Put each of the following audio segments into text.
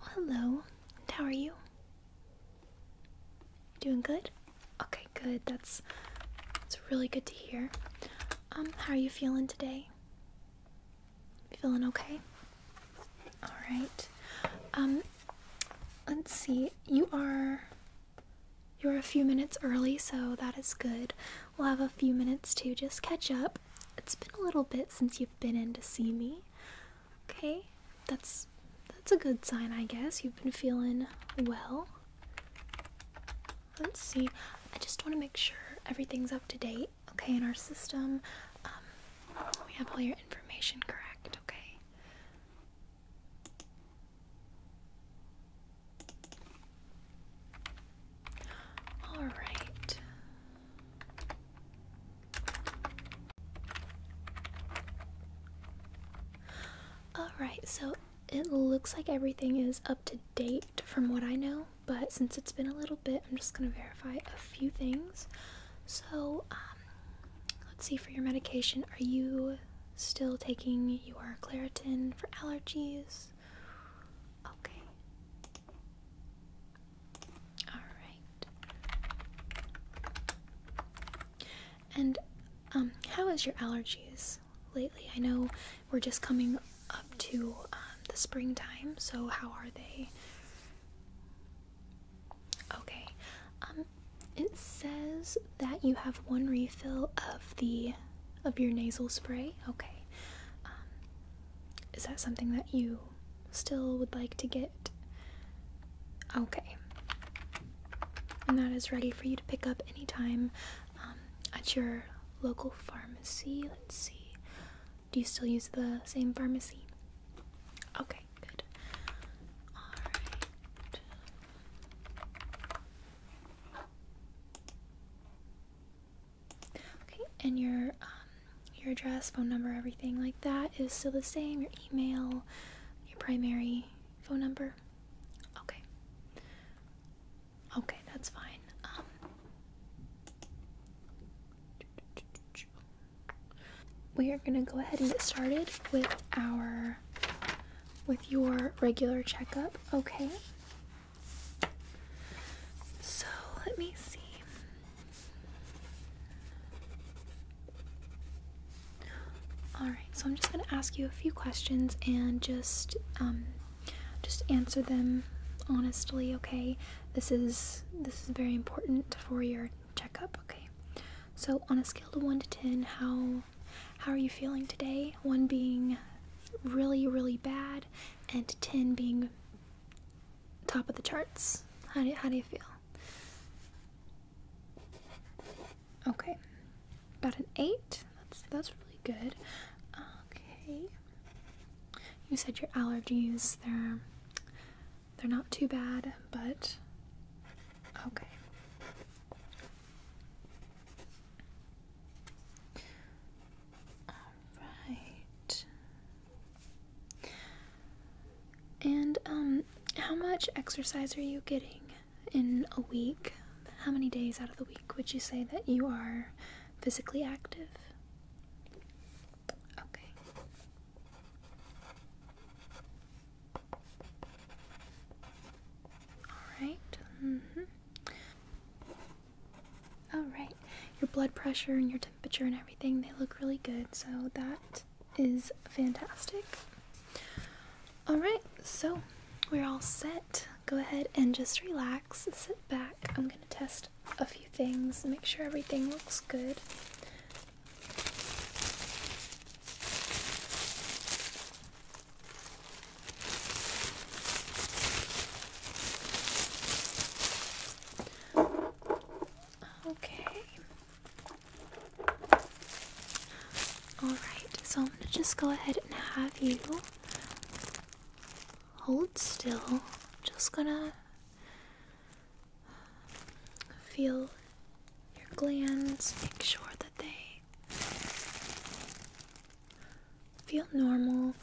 Hello, how are you? Doing good? Okay, good. That's it's really good to hear. Um, how are you feeling today? Feeling okay? All right. Um, let's see. You are you're a few minutes early, so that is good. We'll have a few minutes to just catch up. It's been a little bit since you've been in to see me. Okay, that's that's a good sign, I guess. You've been feeling well. Let's see. I just want to make sure everything's up to date, okay, in our system. Um, we have all your information correct, okay? All right. All right, so it looks like everything is up to date from what I know, but since it's been a little bit, I'm just going to verify a few things. So, um, let's see for your medication. Are you still taking your Claritin for allergies? Okay. Alright. And um, how is your allergies lately? I know we're just coming up to um, the springtime, so how are they? Okay. Um, it says that you have one refill of the of your nasal spray Okay. Um, is that something that you still would like to get? Okay. And that is ready for you to pick up anytime um, at your local pharmacy. Let's see. Do you still use the same pharmacy? Okay, good. Alright. Okay, and your um, your address, phone number, everything like that is still the same. Your email, your primary phone number. Okay. Okay, that's fine. Um, we are gonna go ahead and get started with our with your regular checkup. Okay. So let me see. All right, so I'm just going to ask you a few questions and just um, just answer them honestly, okay? This is this is very important for your checkup, okay? So on a scale of one to ten, how how are you feeling today? One being really, really bad, and 10 being top of the charts. How do, how do you feel? Okay, about an 8. That's, that's really good. Okay. You said your allergies, they're they're not too bad, but okay. All right. And um how much exercise are you getting in a week? How many days out of the week would you say that you are physically active? Okay. All right. Mhm. Mm all right, your blood pressure and your temperature and everything, they look really good, so that is fantastic. All right, so we're all set. Go ahead and just relax, sit back. I'm going to test a few things, make sure everything looks good. Okay. All right. So I'm gonna just go ahead and have you hold still. just gonna feel your glands. Make sure that they Feel normal.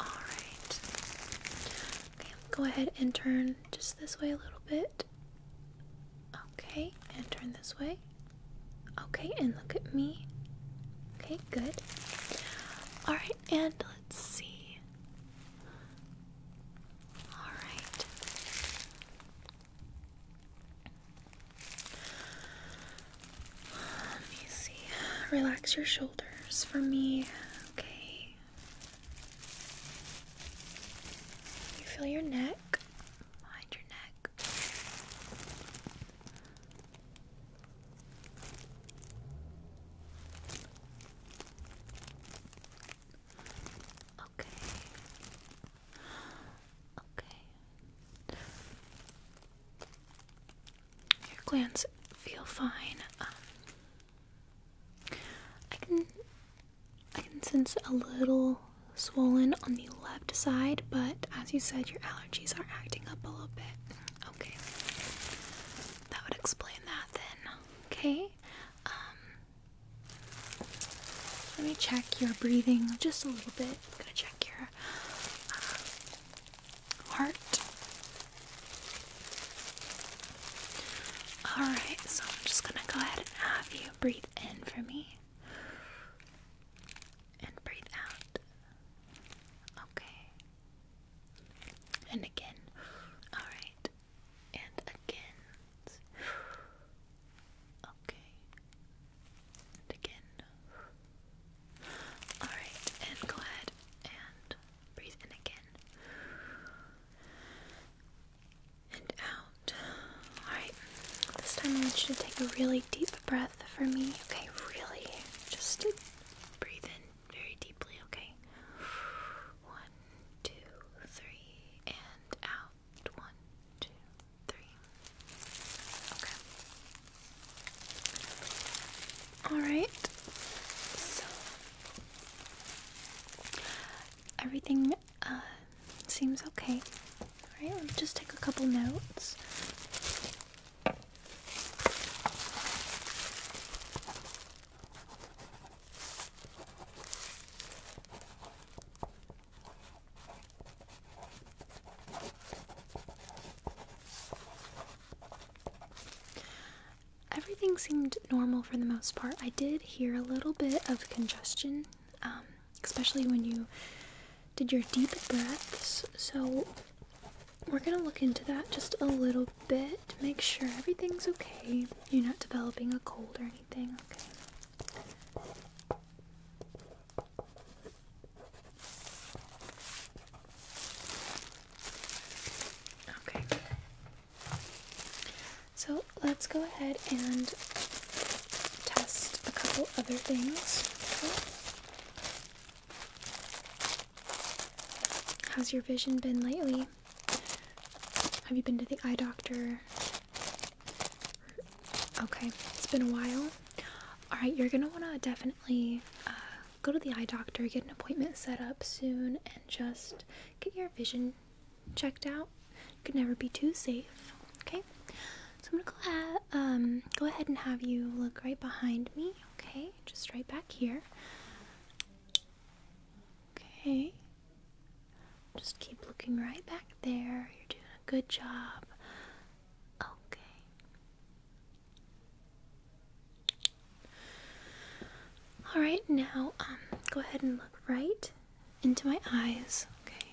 Okay. Alright. Okay, go ahead and turn just this way a little bit. Okay, and turn this way. Okay, and look at me. Okay, good. Alright, and let's see. Alright. Let me see. Relax your shoulders for me. Okay. You feel your neck behind your neck. Okay. Okay. Your glands feel fine. Um, I can I can sense a little swollen on the left side, but as you said, your allergies are acting up a little bit. Okay. That would explain that then. Okay. Um, let me check your breathing just a little bit. I'm gonna check your uh, heart. Alright, so I'm just gonna go ahead and have you breathe in for me and breathe out. Okay. And again. Alright. And again. Okay again. Alright, and go ahead and breathe in again. And out. Alright, this time I want you to take a really deep breath for me. Okay, really. Just breathe in very deeply, okay? One, two, three, and out. One, two, three. Okay. Alright. So everything uh, seems okay. Alright, let me just take a couple notes. Everything seemed normal for the most part. I did hear a little bit of congestion, um, especially when you did your deep breaths. So, we're gonna look into that just a little bit to make sure everything's okay. You're not developing a cold or anything, okay? Okay. So let's go ahead and test a couple other things. How's your vision been lately? Have you been to the eye doctor? Okay, it's been a while. Alright, you're gonna wanna definitely uh, go to the eye doctor, get an appointment set up soon, and just get your vision checked out. You could never be too safe, okay? So I'm gonna go ahead, um, go ahead and have you look right behind me, okay? Just right back here. Okay. Just keep looking right back there. You're doing a good job. Okay. All right, now um go ahead and look right into my eyes. Okay.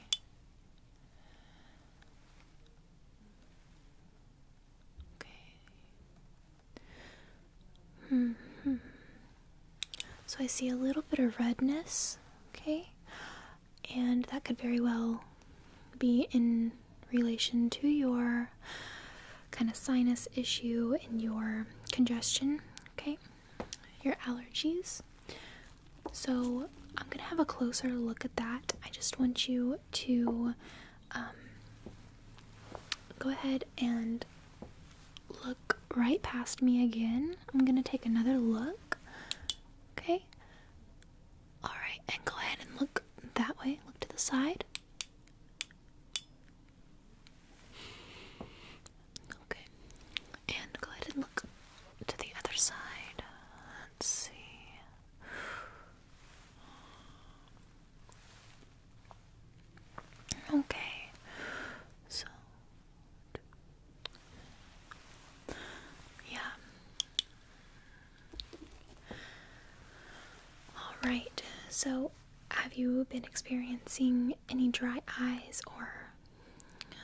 Okay. Mm hmm. So I see a little bit of redness, okay? and that could very well be in relation to your kind of sinus issue and your congestion, okay? Your allergies. So, I'm gonna have a closer look at that. I just want you to um, go ahead and look right past me again. I'm gonna take another look. Okay. All right, and go ahead and look that way. Look to the side. Okay. And go ahead and look to the other side. Let's see. Okay. So yeah. Alright, so have you been experiencing any dry eyes or. Uh,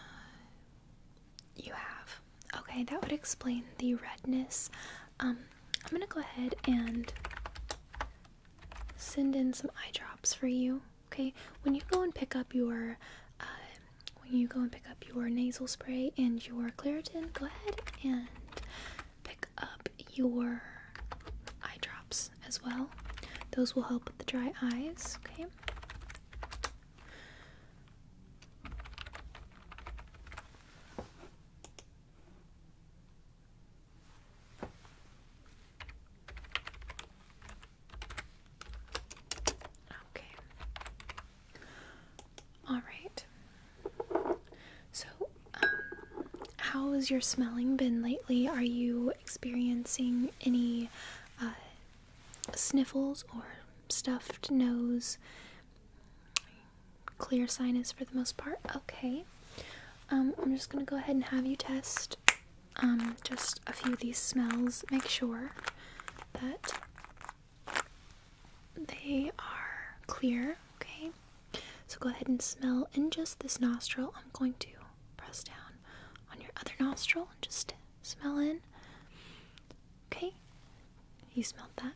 you have. Okay, that would explain the redness. Um, I'm gonna go ahead and send in some eye drops for you okay when you go and pick up your uh, when you go and pick up your nasal spray and your Claritin go ahead and pick up your eye drops as well those will help with the dry eyes okay Okay. All right. So, um, how has your smelling been lately? Are you experiencing any uh, sniffles or stuffed nose? Clear sinus for the most part. Okay. Um, I'm just gonna go ahead and have you test um, just a few of these smells, make sure that they are clear, okay? So go ahead and smell in just this nostril. I'm going to press down on your other nostril and just smell in. Okay, you smelled that?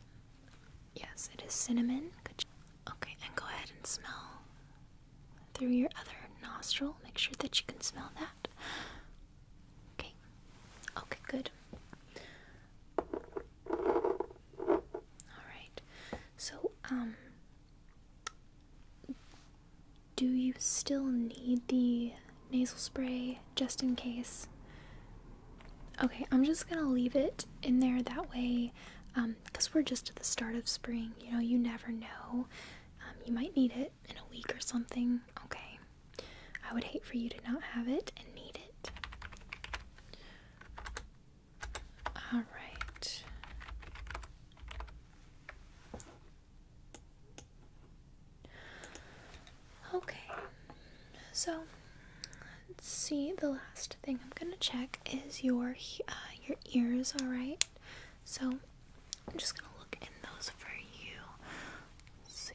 Yes, it is cinnamon. Good. Okay, and go ahead and smell through your other nostril. Make sure that you can smell that. Okay. Okay, good. Alright. So, um do you still need the nasal spray just in case? Okay, I'm just gonna leave it in there that way because um, we're just at the start of spring. You know, you never know. Um, you might need it in a week or something? Okay. I would hate for you to not have it and need it. All right. Okay. So, let's see. The last thing I'm going to check is your uh, your ears, all right? So I'm just gonna look in those for you. see.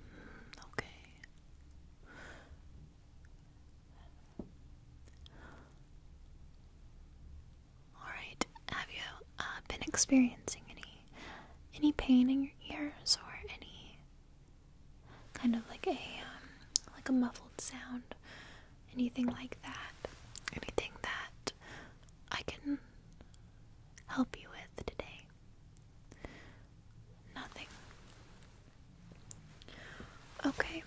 Mm, okay. All right. Have you uh, been experiencing any any pain in your ears or any kind of like a um, like a muffled sound anything like that, anything that I can help you with today. Nothing. Okay.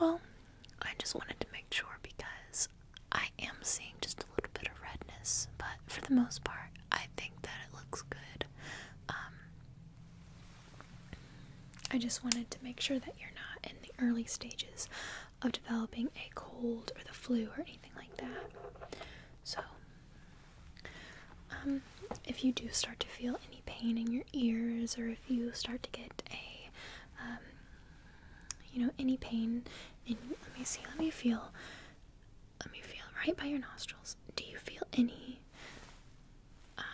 Well, I just wanted to make sure because I am seeing just a little bit of redness, but for the most part, I think that it looks good. Um, I just wanted to make sure that you're not in the early stages of developing a cold or the flu or anything like that. So, um, if you do start to feel any pain in your ears, or if you start to get a, um, you know, any pain in, let me see, let me feel, let me feel right by your nostrils. Do you feel any um,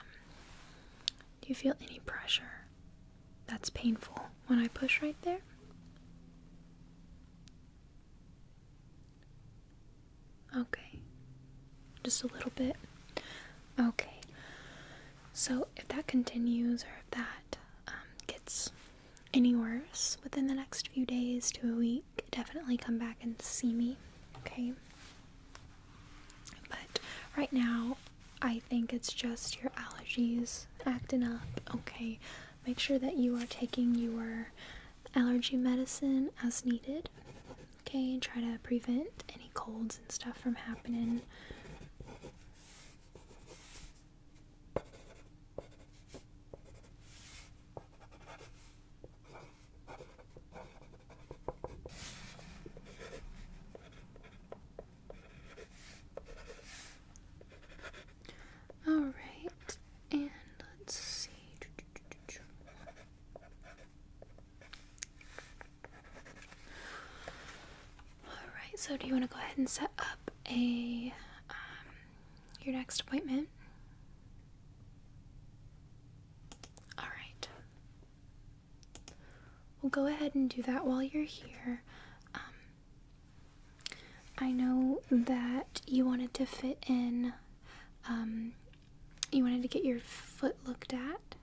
do you feel any pressure? That's painful when I push right there. Okay, just a little bit. Okay, so if that continues or if that um, gets any worse within the next few days to a week, definitely come back and see me. Okay, but right now, I think it's just your allergies acting up. Okay, make sure that you are taking your allergy medicine as needed. Okay, try to prevent any colds and stuff from happening. All right, and let's see. All right, so do you want to go ahead and set up a um, your next appointment? All right. We'll go ahead and do that while you're here. Um, I know that you wanted to fit in, um, you wanted to get your foot looked at.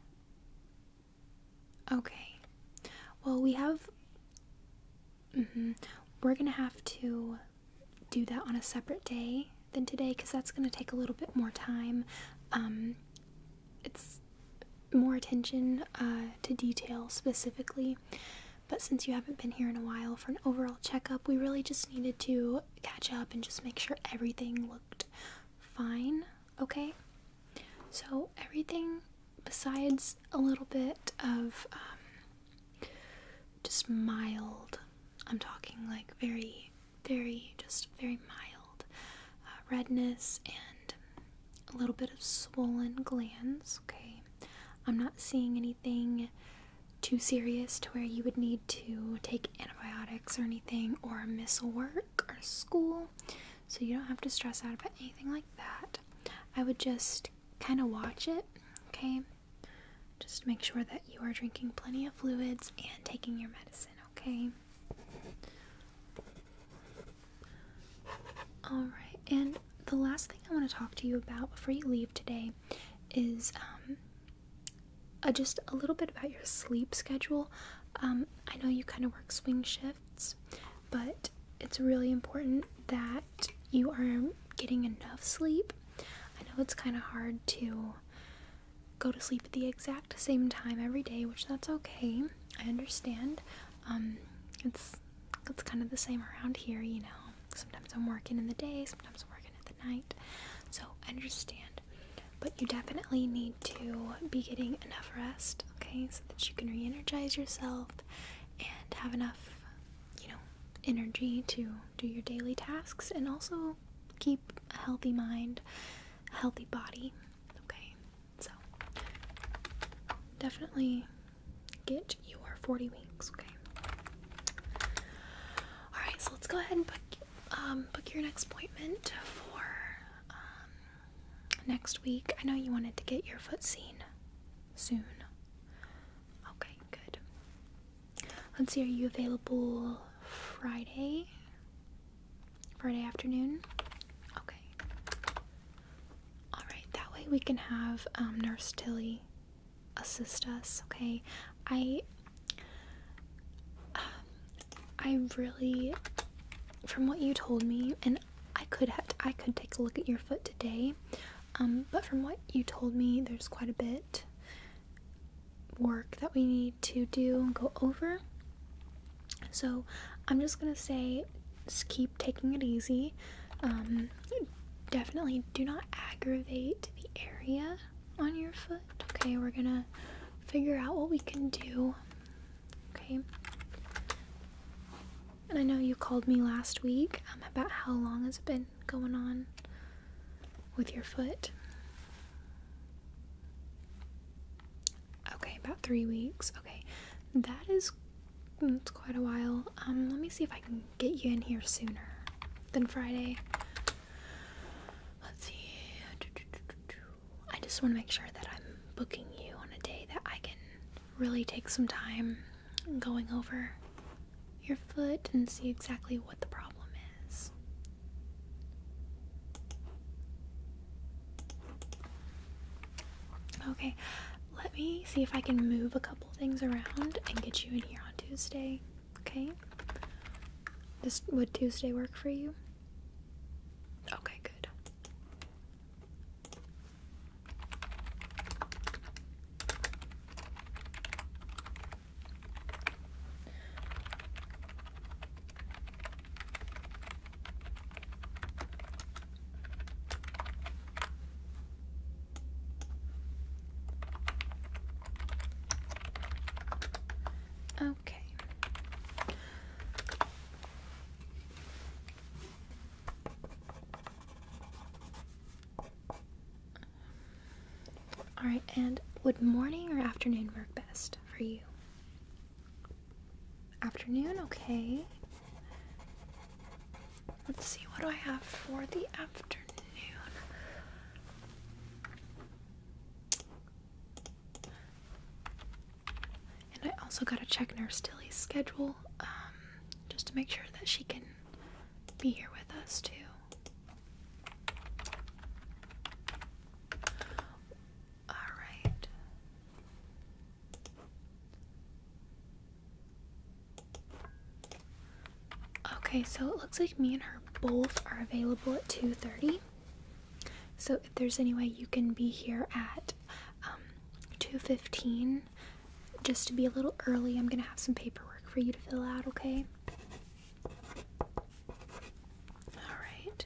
Okay. Well, we have. Mm-hmm, we're gonna have to do that on a separate day than today because that's gonna take a little bit more time. Um, it's more attention uh, to detail specifically. But since you haven't been here in a while for an overall checkup, we really just needed to catch up and just make sure everything looked fine, okay? So, everything besides a little bit of um, just mild, I'm talking like very very, just very mild uh, redness and a little bit of swollen glands. Okay, I'm not seeing anything too serious to where you would need to take antibiotics or anything or miss work or school. So you don't have to stress out about anything like that. I would just kind of watch it, okay? Just make sure that you are drinking plenty of fluids and taking your medicine, okay? Alright, and the last thing I want to talk to you about before you leave today is um, uh, just a little bit about your sleep schedule. Um, I know you kind of work swing shifts, but it's really important that you are getting enough sleep. I know it's kind of hard to go to sleep at the exact same time every day, which that's okay. I understand. Um, it's it's kind of the same around here, you know. Sometimes I'm working in the day, sometimes I'm working at the night. So understand. But you definitely need to be getting enough rest, okay, so that you can re energize yourself and have enough, you know, energy to do your daily tasks and also keep a healthy mind, a healthy body. Okay, so definitely get your 40 weeks, okay? Alright, so let's go ahead and book, um, book your next appointment for um, next week. I know you wanted to get your foot seen soon. Okay, good. Let's see, are you available Friday? Friday afternoon? Okay. Alright, that way we can have um, Nurse Tilly assist us, okay? I. Um, I really. From what you told me, and I could have, I could take a look at your foot today, um, but from what you told me, there's quite a bit work that we need to do and go over. So I'm just gonna say, just keep taking it easy. Um, definitely do not aggravate the area on your foot. Okay, we're gonna figure out what we can do. Okay. And I know you called me last week um, about how long has it been going on with your foot. Okay, about three weeks. Okay, that is mm, quite a while. Um, let me see if I can get you in here sooner than Friday. Let's see. I just want to make sure that I'm booking you on a day that I can really take some time going over your foot and see exactly what the problem is. Okay, let me see if I can move a couple things around and get you in here on Tuesday. Okay? This would Tuesday work for you? Okay, good. Okay. All right, and would morning or afternoon work best for you? Afternoon, okay. Let's see, what do I have for the afternoon? And I also gotta check Nurse Tilly's schedule, um, just to make sure that she can be here with us too. All right. Okay, so it looks like me and her both are available at 2:30. So if there's any way you can be here at 2:15, um, just to be a little early, I'm gonna have some paperwork for you to fill out. Okay. All right.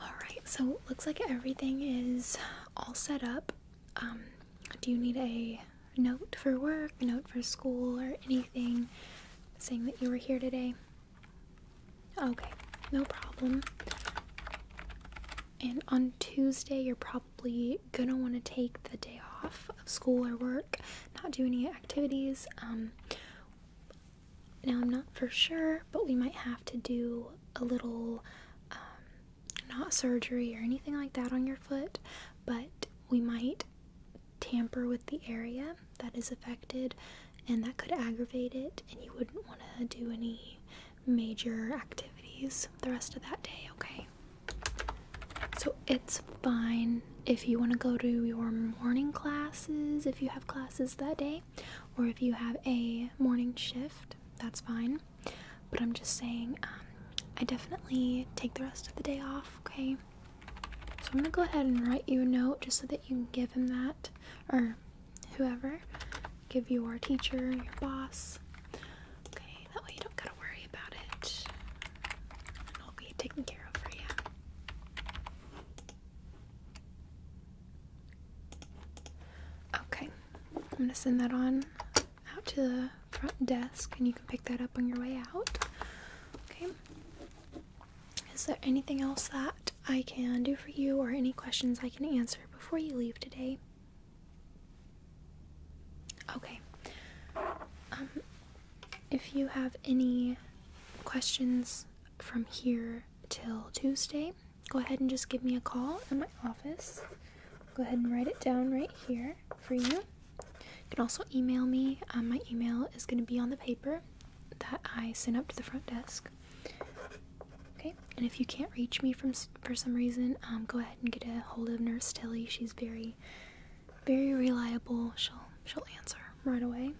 Alright, so looks like everything is all set up. Um, do you need a note for work, a note for school, or anything saying that you were here today? Okay, no problem. And on Tuesday, you're probably gonna want to take the day off of school or work, not do any activities. Um, now, I'm not for sure, but we might have to do a little, um, not surgery or anything like that on your foot, but we might tamper with the area that is affected and that could aggravate it, and you wouldn't want to do any major activities the rest of that day, okay? So it's fine if you want to go to your morning classes, if you have classes that day, or if you have a morning shift, that's fine. But I'm just saying, um, I definitely take the rest of the day off, okay? So I'm gonna go ahead and write you a note just so that you can give him that, or whoever, give your teacher, your boss. Okay, that way you don't gotta worry about it. It'll be taken care of for you. Okay, I'm going to send that on out to the front desk and you can pick that up on your way out. Okay. Is there anything else that I can do for you or any questions I can answer before you leave today? Okay. Um, if you have any questions from here till Tuesday, go ahead and just give me a call at my office. Go ahead and write it down right here for you. You can also email me. Um, my email is going to be on the paper that I sent up to the front desk. Okay, and if you can't reach me from for some reason, um, go ahead and get a hold of Nurse Tilly. She's very, very reliable. She'll she'll answer right away.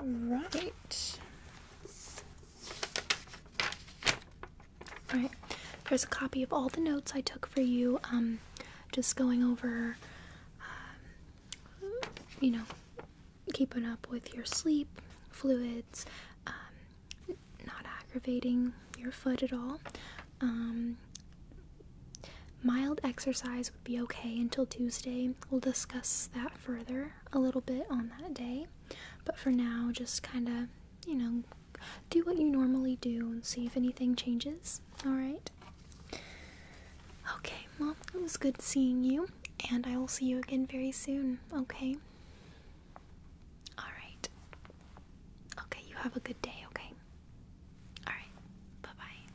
All right. All right. There's a copy of all the notes I took for you. Um, just going over, um, you know, keeping up with your sleep, fluids, um, not aggravating your foot at all. Um, Mild exercise would be okay until Tuesday. We'll discuss that further a little bit on that day. But for now, just kind of, you know, do what you normally do and see if anything changes. All right. Okay, well, it was good seeing you, and I will see you again very soon, okay? All right. Okay, you have a good day, okay? All right. Bye-bye.